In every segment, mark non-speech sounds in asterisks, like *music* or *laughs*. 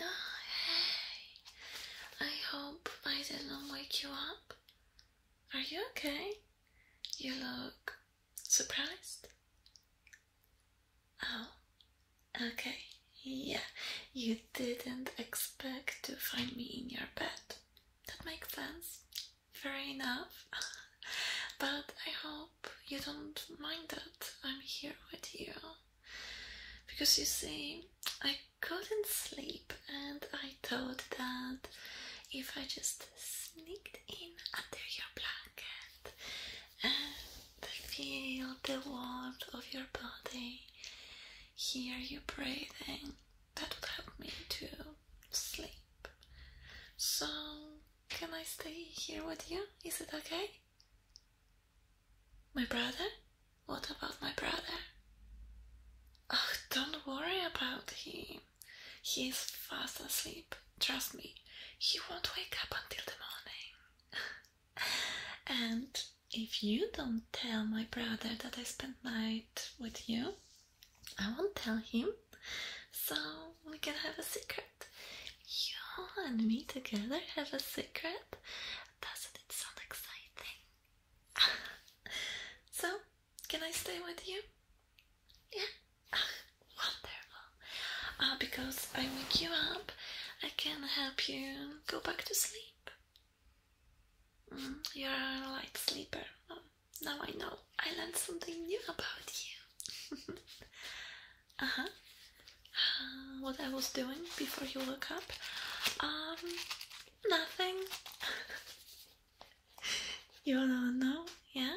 Oh, hey, I hope I did not wake you up. Are you okay? You look surprised. Oh, okay. Yeah, you didn't expect to find me in your bed. That makes sense fair enough. but I hope you don't mind that I'm here with you. Because you see, I couldn't sleep, and I thought that if I just sneaked in under your blanket and feel the warmth of your body, hear you breathing, that would help me to sleep. So, can I stay here with you? Is it okay? My brother? What about my brother? Oh, don't worry about him. He's fast asleep. Trust me, he won't wake up until the morning. *laughs* and if you don't tell my brother that I spent night with you, I won't tell him, so we can have a secret. You and me together have a secret. Doesn't it sound exciting? *laughs* so, can I stay with you? Yeah, *laughs* wonderful. Uh, because I wake you up, I can help you go back to sleep. Mm, you're a light sleeper. Now I know I learned something new about you. *laughs* Uh-huh. uh huh. what I was doing before you woke up? Um, nothing. *laughs* you don't know, yeah?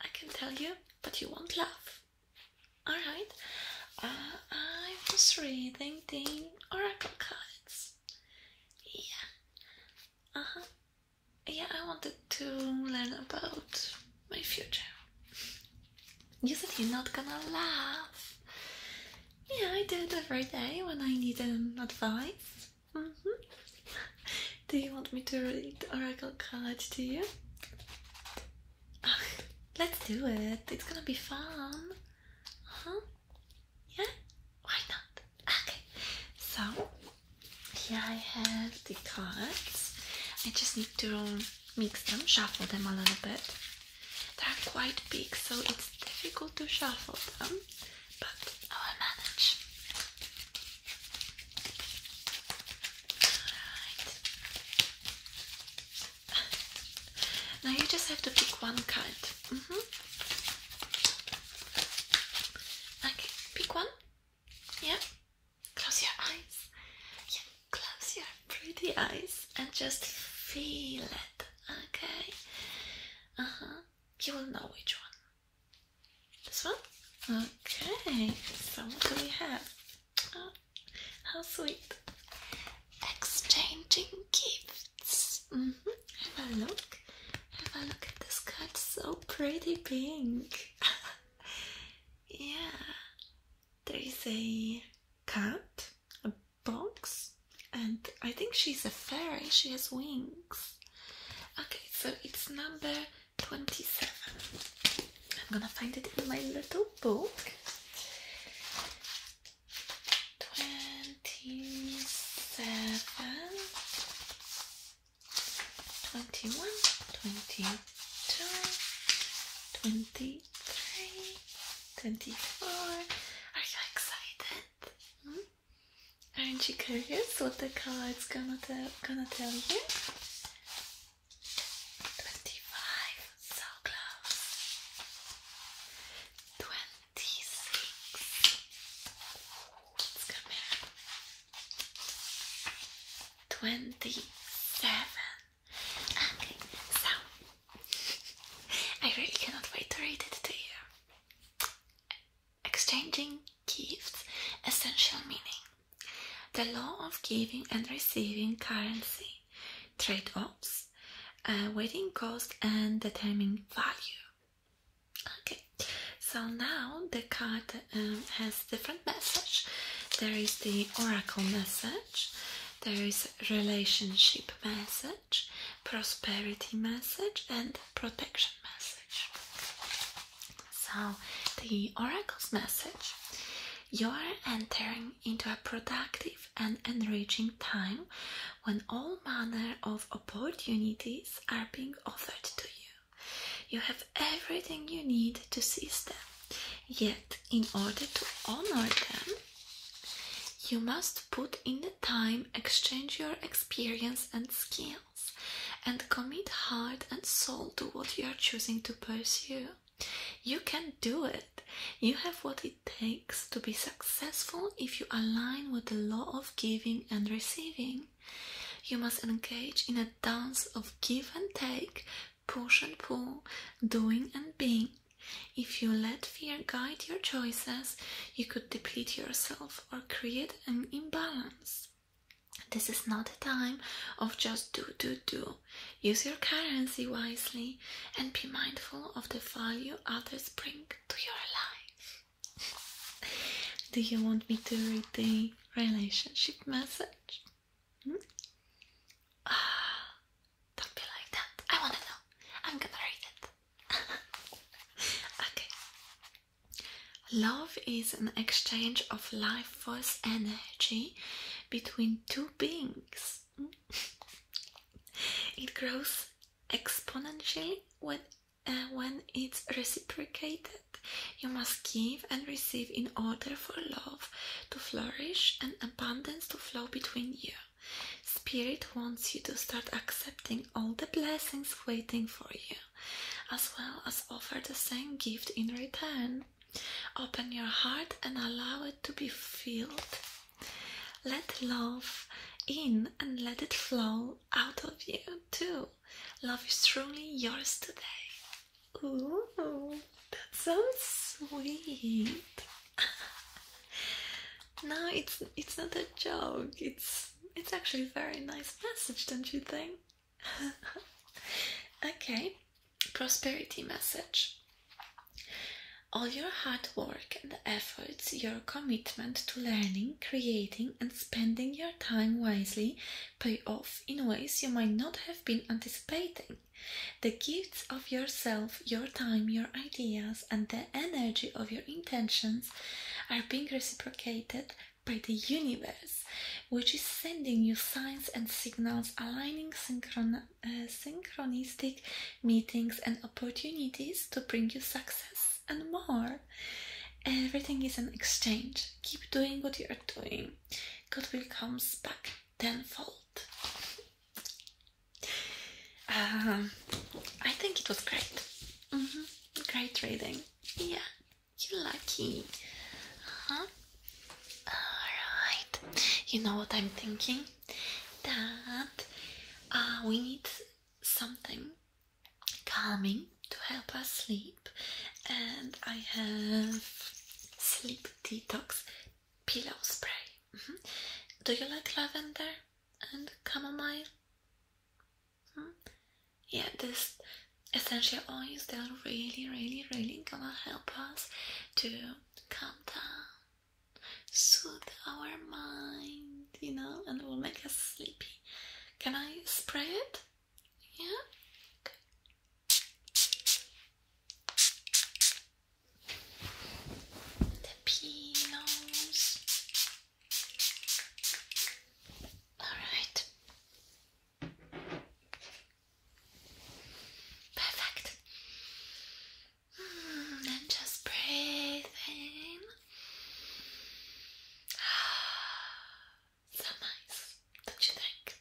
I can tell you, but you won't laugh. Alright. Uh, I was reading the oracle cards. Yeah. Uh huh yeah, I wanted to learn about my future. You said you're not gonna laugh. Yeah, I do it every day when I need um, advice. Mm-hmm. do you want me to read Oracle College to you? let's do it. It's gonna be fun. huh? Yeah? Why not? Okay. So here I have the cards. I just need to mix them, shuffle them a little bit. They're quite big, so it's difficult to shuffle them, but I will manage. Alright. Now you just have to pick one card. Mm -hmm. pick one. Yeah, close your eyes. Yeah, close your pretty eyes and just feel it. Okay. Uh huh. You will know which one. This one. Okay. So what do we have? Oh, how sweet. Exchanging gifts. Mm-hmm. Have a look. Have a look at this card. So pretty pink. *laughs* yeah, there is a cat, a box, and I think she's a fairy, she has wings. Okay, so it's number 27. I'm gonna find it in my little book. 27. 21, 22, 23, 24. Are you excited? Hmm? Aren't you curious what the card's gonna tell, gonna tell you? 25, so close. 26 twenty-seven. Okay, so *laughs* I really cannot wait to read it to you. Exchanging gifts, essential meaning. The law of giving and receiving currency, trade offs, uh, cost, and determining value. Okay, so now the card um, has different message. There is the oracle message, there is relationship message, prosperity message, and protection message. So the oracle's message. You are entering into a productive and enriching time when all manner of opportunities are being offered to you. You have everything you need to seize them. Yet, in order to honor them, you must put in the time, exchange your experience and skills, and commit heart and soul to what you are choosing to pursue. You can do it. You have what it takes to be successful if you align with the law of giving and receiving. You must engage in a dance of give and take, push and pull, doing and being. If you let fear guide your choices, you could deplete yourself or create an imbalance. This is not a time of just do, do, do. Use your currency wisely and be mindful of the value others bring to your life. Do you want me to read the relationship message? Hmm? Ah, don't be like that. I wanna know. I'm gonna read it. *laughs* okay. Love is an exchange of life force energy between two beings. Hmm? *laughs* it grows exponentially when, uh, when it's reciprocated *laughs* You must give and receive in order for love to flourish and abundance to flow between you. Spirit wants you to start accepting all the blessings waiting for you, as well as offer the same gift in return. Open your heart and allow it to be filled. Let love in and let it flow out of you too. Love is truly yours today. Ooh, that sounds sweet. *laughs* no, it's it's not a joke. It's it's actually a very nice message, don't you think? *laughs* okay, prosperity message. All your hard work and efforts, your commitment to learning, creating, and spending your time wisely pay off in ways you might not have been anticipating. The gifts of yourself, your time, your ideas, and the energy of your intentions are being reciprocated by the universe, which is sending you signs and signals aligning uh, synchronistic meetings and opportunities to bring you success and more. Everything is an exchange. Keep doing what you're doing. God will comes back tenfold. Um, I think it was great. -hmm. Great reading. Yeah, you're lucky. Uh huh. Alright, you know what I'm thinking? That uh, we need something calming to help us sleep, and I have sleep detox pillow spray. Mm-hmm. Do you like lavender and chamomile? Mm-hmm. Yeah, this essential oils they're really, really, really gonna help us to calm down, soothe our mind, you know, and will make us sleepy. Can I spray it? Yeah? The pillows. Alright. Perfect. Mm, just breathe in. *sighs* Ah. So nice, don't you think?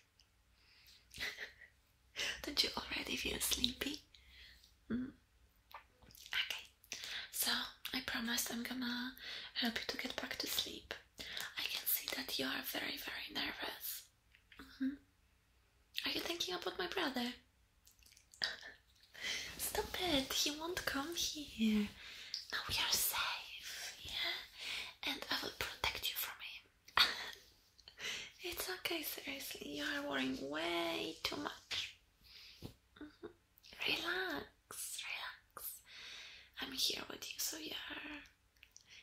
*laughs* don't you already feel sleepy? Mm. Okay, so I promised I'm gonna help you to get back to sleep. I can see that you are very, very nervous. Mm-hmm. Are you thinking about my brother? *laughs* Stop it, he won't come here. Now we are safe, yeah? and I will protect you from him. *laughs* it's okay, seriously, you are worrying way too much. Mm-hmm. Relax, relax. I'm here with you, so you are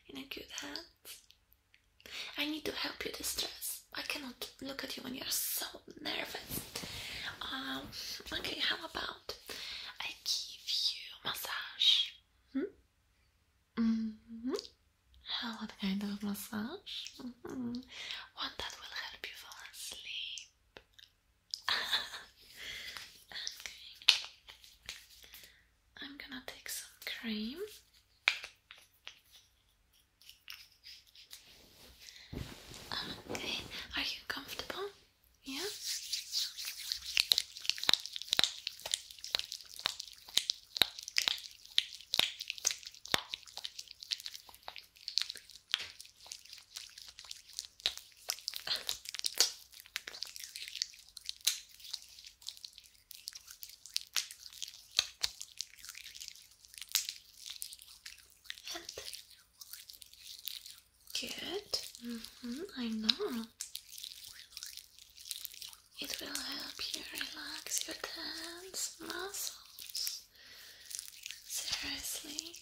in a good hands. I need to help you distress. I cannot look at you when you are so nervous. Um, okay, how about I give you massage? Hmm? Mm -hmm. What kind of massage? Mm-hmm. One that will help you fall asleep. *laughs* I'm gonna take some cream. Okay, are you comfortable? Yeah. Help. Good. Mm-hmm, I know. It will help you relax your tense muscles. Seriously,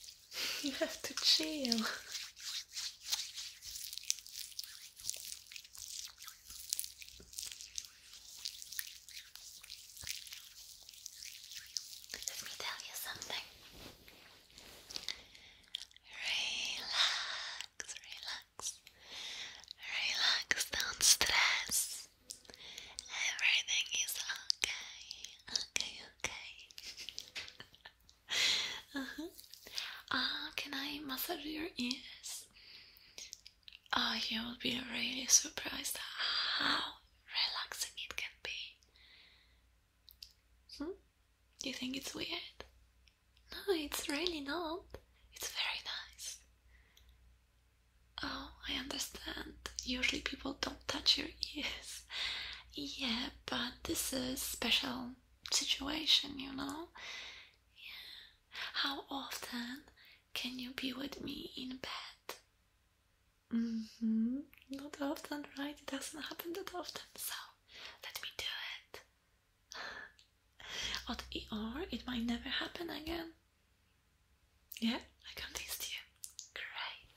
*laughs* you have to chill. Let me tell you something. Relax, relax, relax, don't stress. Everything is okay, okay, okay. *laughs* uh -huh. uh, ah, can I massage your ears? Oh, you will be really surprised how relaxing it can be. Hmm? You think it's weird? No, it's really not. It's very nice. Oh, I understand. Usually people don't touch your ears. yeah, but this is a special situation, you know? Yeah. How often can you be with me in bed? hmm Not often, right? It doesn't happen that often, so let me do it. Or *laughs* it might never happen again. Yeah, I can't convinced you. Great.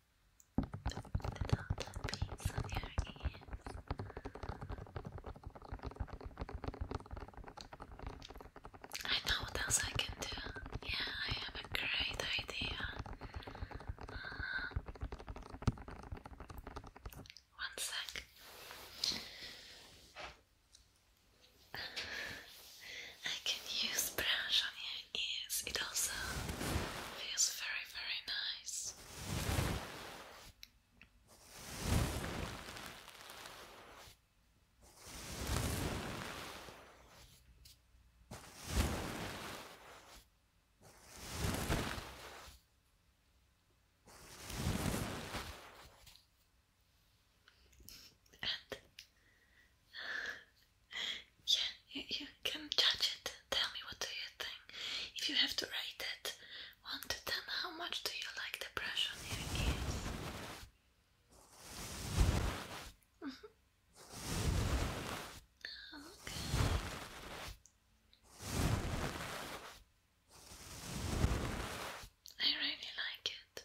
I know what else I can do. Yeah, I have a great idea. Uh, one sec. I can use brush on your is it also feels very, very nice. And yeah, you, can judge it. Tell me what do you think. If you have to rate it, one to ten, how much do you like the brush on your ears? Mm-hmm. Okay. I really like it.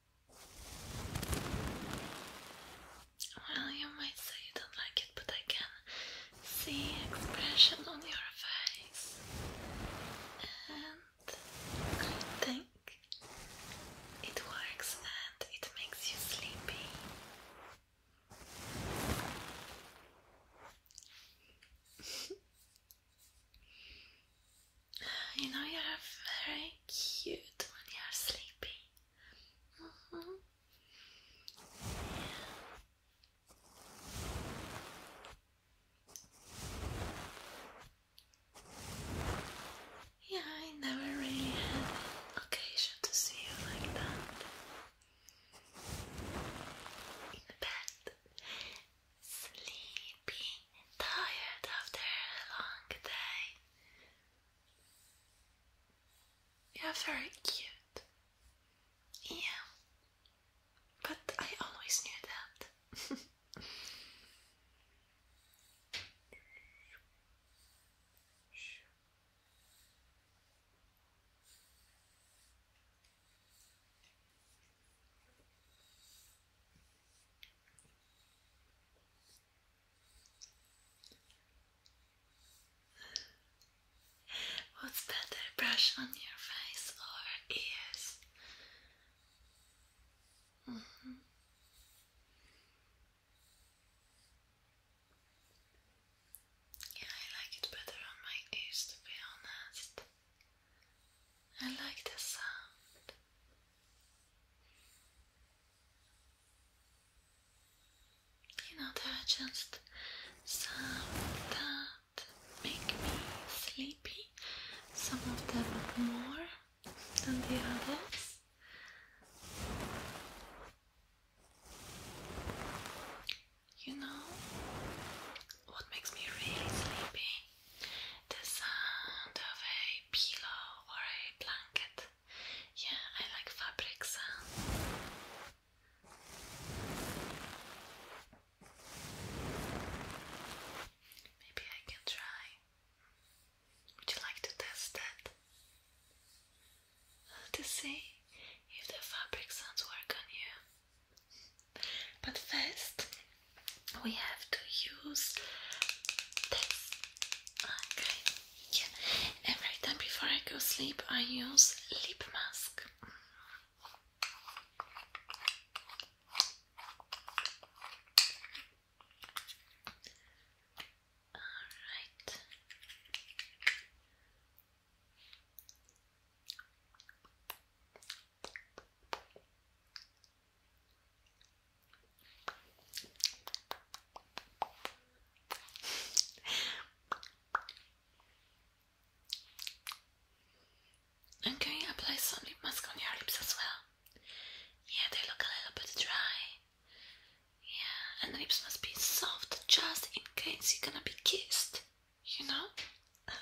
Well, you might say you don't like it, but I can see expression on your face, and I think it works and it makes you sleepy. *laughs* You know you're very cute when you're sleepy. Mm-hmm. yeah. I never really had an occasion to see you like that in bed, sleepy, tired after a long day, you're very cute. Yeah. But I always knew that. What's better, brush on your face or ears? Mm-hmm. Yeah, I like it better on my ears to be honest. I like the sound. You know, there are just some that make me sleepy, some of them more than the others. You know, what makes me really sleepy the sound of a pillow or a blanket. Yeah, I like fabric sound. Maybe I can try. Would you like to test it? Uh, to see if the fabric sounds work on you. But first, we have to use this. Okay. Yeah. Every time before I go sleep, I use lip mask. All right. I'm going to apply some lip mask on your lips as well. Yeah, they look a little bit dry. Yeah, and the lips must be soft just in case you're gonna be kissed, you know? *laughs*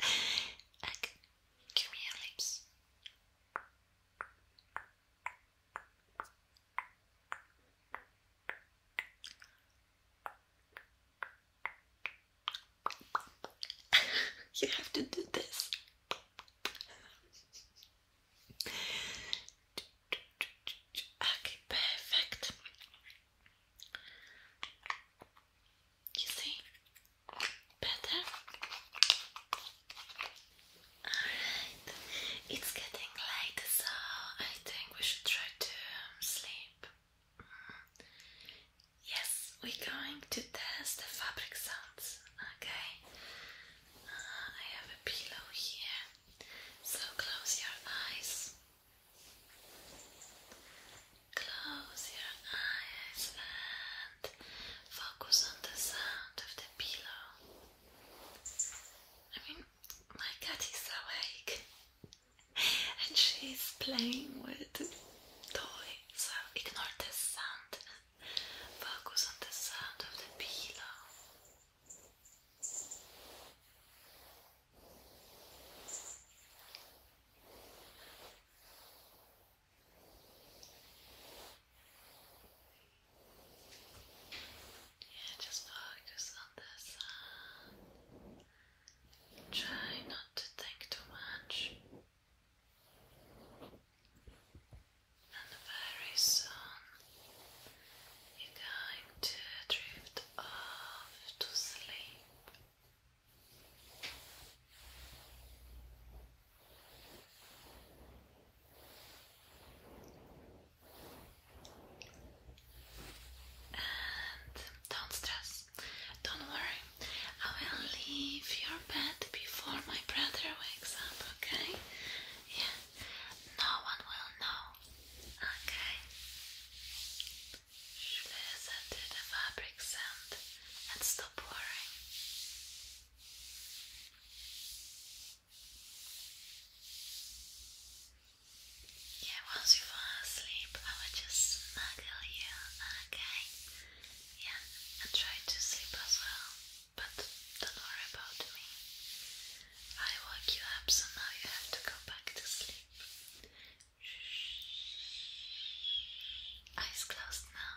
okay, give me your lips. *laughs* you have to do this. Okay, perfect. You see? Better? Alright, it's getting late, so I think we should try to um, sleep. Mm. Yes, we're going to test the fabric sounds. Okay, uh, I have a pillow here, so close your eyes. Close your eyes and focus on the sound of the pillow. I mean, my cat is awake *laughs* and she's playing with toys. so ignore the sound and focus on the sound of the pillow. Yeah, just focus on the sun. Uh, try not to think too much. And very soon you're going to drift off to sleep don't stress, don't worry. I will leave your bed before my brother wakes up, okay? Yeah, no one will know, okay? Listen to the fabric sound and stop worrying. Yeah, once you fall asleep, I will just snuggle you, okay? Yeah, and try to sleep as well, but don't worry about me. I woke you up, so now you have to go back to sleep. Eyes closed now.